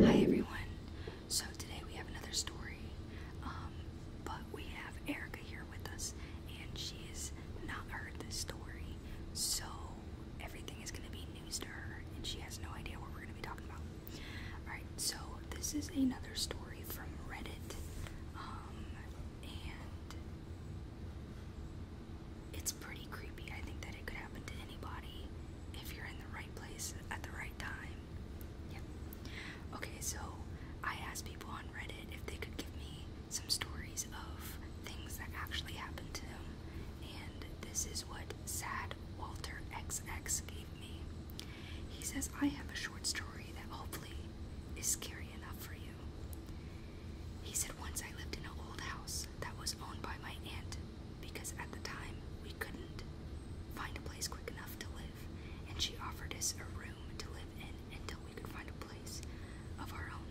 Hi everyone. So today we have another story, um, but we have Erica here with us, and she's not heard this story, so everything is going to be news to her, and she has no idea what we're going to be talking about. Alright, so this is another story from Reddit, um, and it's pretty creepy. I think that it could happen to anybody if you're in the right place at the right time. Yep. Okay, so I asked people on Reddit if they could give me some stories of things that actually happened to them, and this is what Sad Walter XX gave me. He says, I have a short story that hopefully is scary enough for you you. He said once I lived in an old house that was owned by my aunt because at the time we couldn't find a place quick enough to live, and she offered us a room to live in until we could find a place of our own.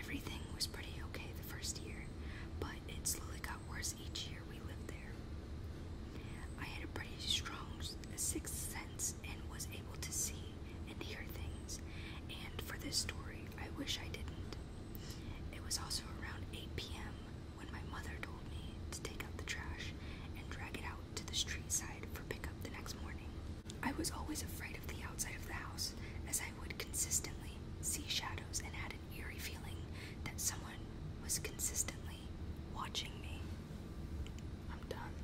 Everything was pretty okay the first year, but it slowly got worse each year we lived there. I had a pretty strong sixth sense and was able to see and hear things, and for this story, I wish I didn't. It was also around 8 p.m. when my mother told me to take out the trash and drag it out to the street side for pickup the next morning. I was always afraid of the outside of the house, as I would consistently see shadows and had an eerie feeling that someone was consistently watching me. I'm done.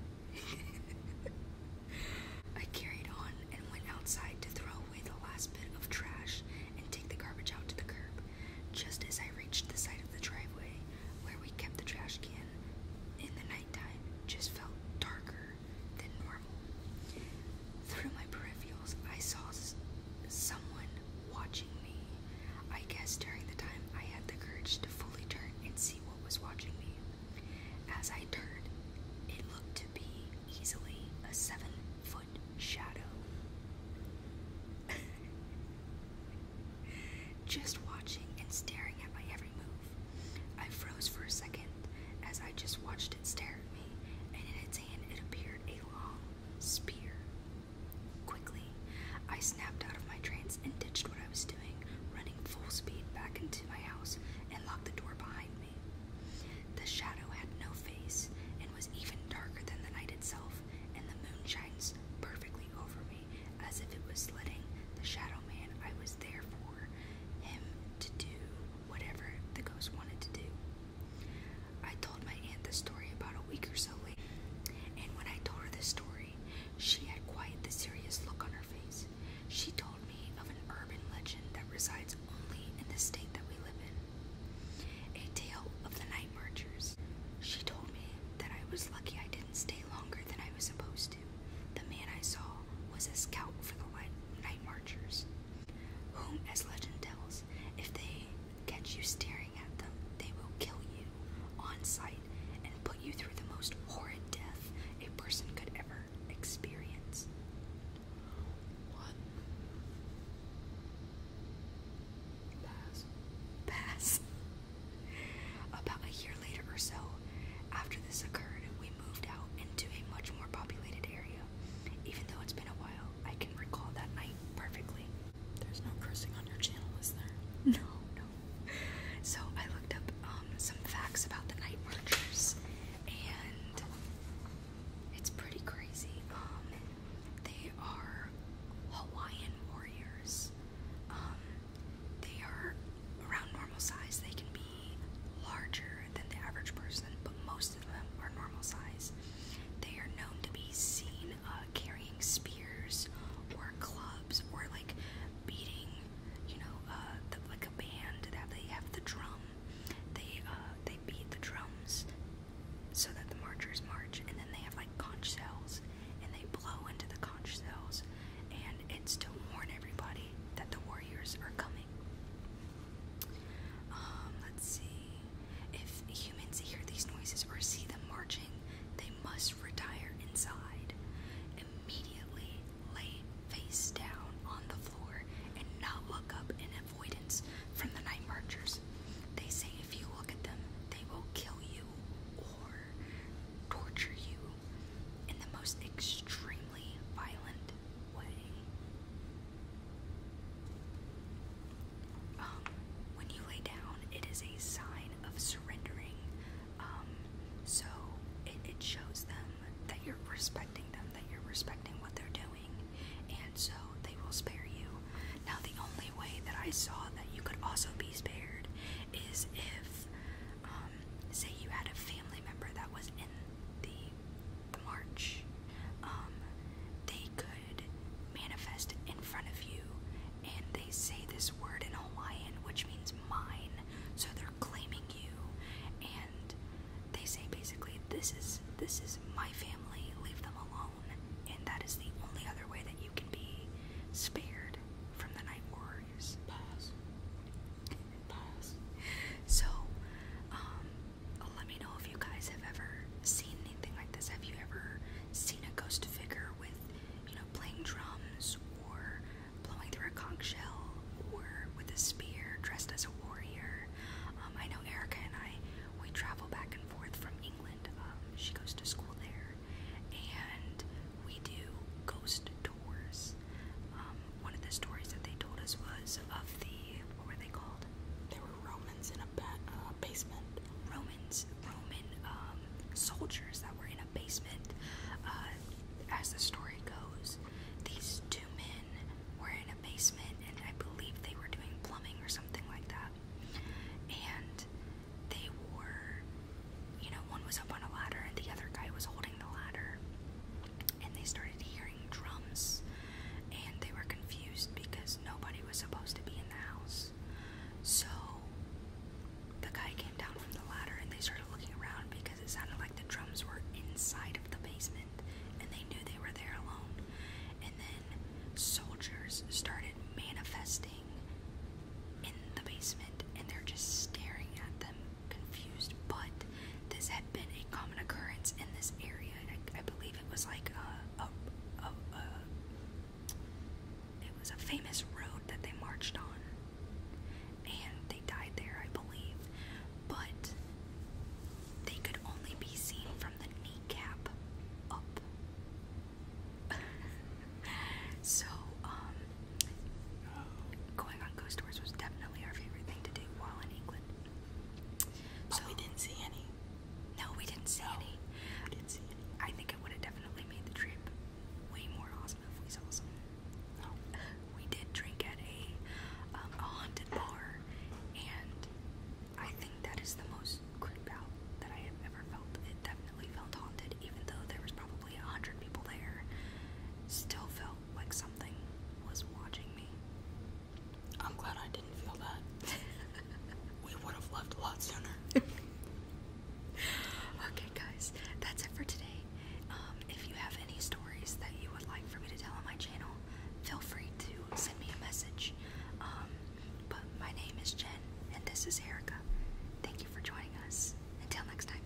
I carried on and went outside to throw away the last bit of trash and take the garbage out to the curb. Just as I reached the side of the driveway where we kept the trash can in the nighttime, just felt darker than normal. Through my peripherals, I saw someone watching me. I guess during the time I had the courage to fully turn and see what was watching me. As I turned, it looked to be easily a seven foot shadow. just watching and staring at my every move. I froze for a second as I just watched it stare at me, and in its hand it appeared a long spear. Quickly, I snapped out of my trance and ditched what I was doing, running full speed back into my house and locked the door behind me. The shadow had no face and was even darker than the night itself, and the moon shines perfectly over me as if it was letting the shadow man I was there for him to do whatever the ghost wanted to do. I told my aunt the story about a week or so later, and when I told her the story, she had quite the serious look on her face. She told me of an urban legend that resides only in the state that we live in. A tale of the night marchers. She told me that I was lucky I didn't stay longer than I was supposed to. The man I saw was a scout for the night marchers, whom, as legend tells, if they catch you staring at them, they will kill you on site and put you through the most horrid death a person could ever experience. What? Pass. Pass. About a year later or so, after this occurred, we moved out into a much more populated area. Even though it's been a while, I can recall that night perfectly. There's no cursing on your channel, is there? no, So I looked up um, some facts about the night marchers, and it's pretty crazy. Um, they are Hawaiian warriors. Um, they are around normal size. They can be larger than the average person, but most of them are normal size. They are known to be seen uh, carrying spears or clubs or like beating, you know, uh, like a band that they have the drum. They uh, they beat the drums so that the marchers march, and then they have like conch shells, and they blow into the conch shells, and it's to warn everybody that the warriors are coming. Um, let's see. If humans hear these noises or see them marching, they must retire inside. Immediately lay face down on the floor and not look up in avoidance from the night marchers. They say if you look at them, they will kill you or torture you in the most extremely violent way. Um, when you lay down, it is a sign of surrendering. Um, so it, shows them that you're respecting them, that you're respecting what they're doing, and so they will spare you. Now, the only way that I saw that you could also be spared is if, um, say, you had a family member that was in the, march, um, they could manifest in front of you and they say this word in Hawaiian which means mine, so they're claiming you, and they say basically this is this is my family, leave them alone, and that is the only other way that you can be spared from the night warriors. Pass. Pass. So, um, let me know if you guys have ever seen anything like this. Have you ever seen a ghost figure with you know, playing drums or blowing through a conch shell or with a spear dressed as a warrior. Um, I know Erica and I, we travel back and forth from England. Um, she goes to school there. And we do ghost tours. Um, one of the stories that they told us was of the, what were they called? There were Romans in a uh, basement. Romans Roman um, soldiers that were in a basement. Uh, as the story goes, these two men were in a basement, and I believe they were doing plumbing or something like that. And they were, you know, one was up on a ladder, and the other guy was holding the ladder. And they started hearing drums, and they were confused because nobody was supposed to be in the house. So the guy came down from the ladder and they started looking around because it sounded like the drums were inside of the basement and they knew they were there alone. And then soldiers started manifesting in the basement and they're just staring at them, confused. But this had been a common occurrence in this area. I, I believe it was like a, a, a it was a famous road that they marched on. And they died there, I believe. But they could only be seen from the kneecap up. so, um, going on ghost tours was definitely our favorite thing to do while in England. Oh, so, we didn't see any. No, we didn't see any. We didn't see any. I think it would have definitely made the trip way more awesome if we saw some. We did drink at a, um, a haunted bar, and I think that is the most creep out that I have ever felt. It definitely felt haunted, even though there was probably a hundred people there. Still felt like something was watching me. I'm glad I didn't feel that. we would have left a lot sooner. okay, guys, that's it for today. Um, if you have any stories that you would like for me to tell on my channel, feel free to send me a message. Um, but my name is Jen, and this is Erica. Thank you for joining us. Until next time.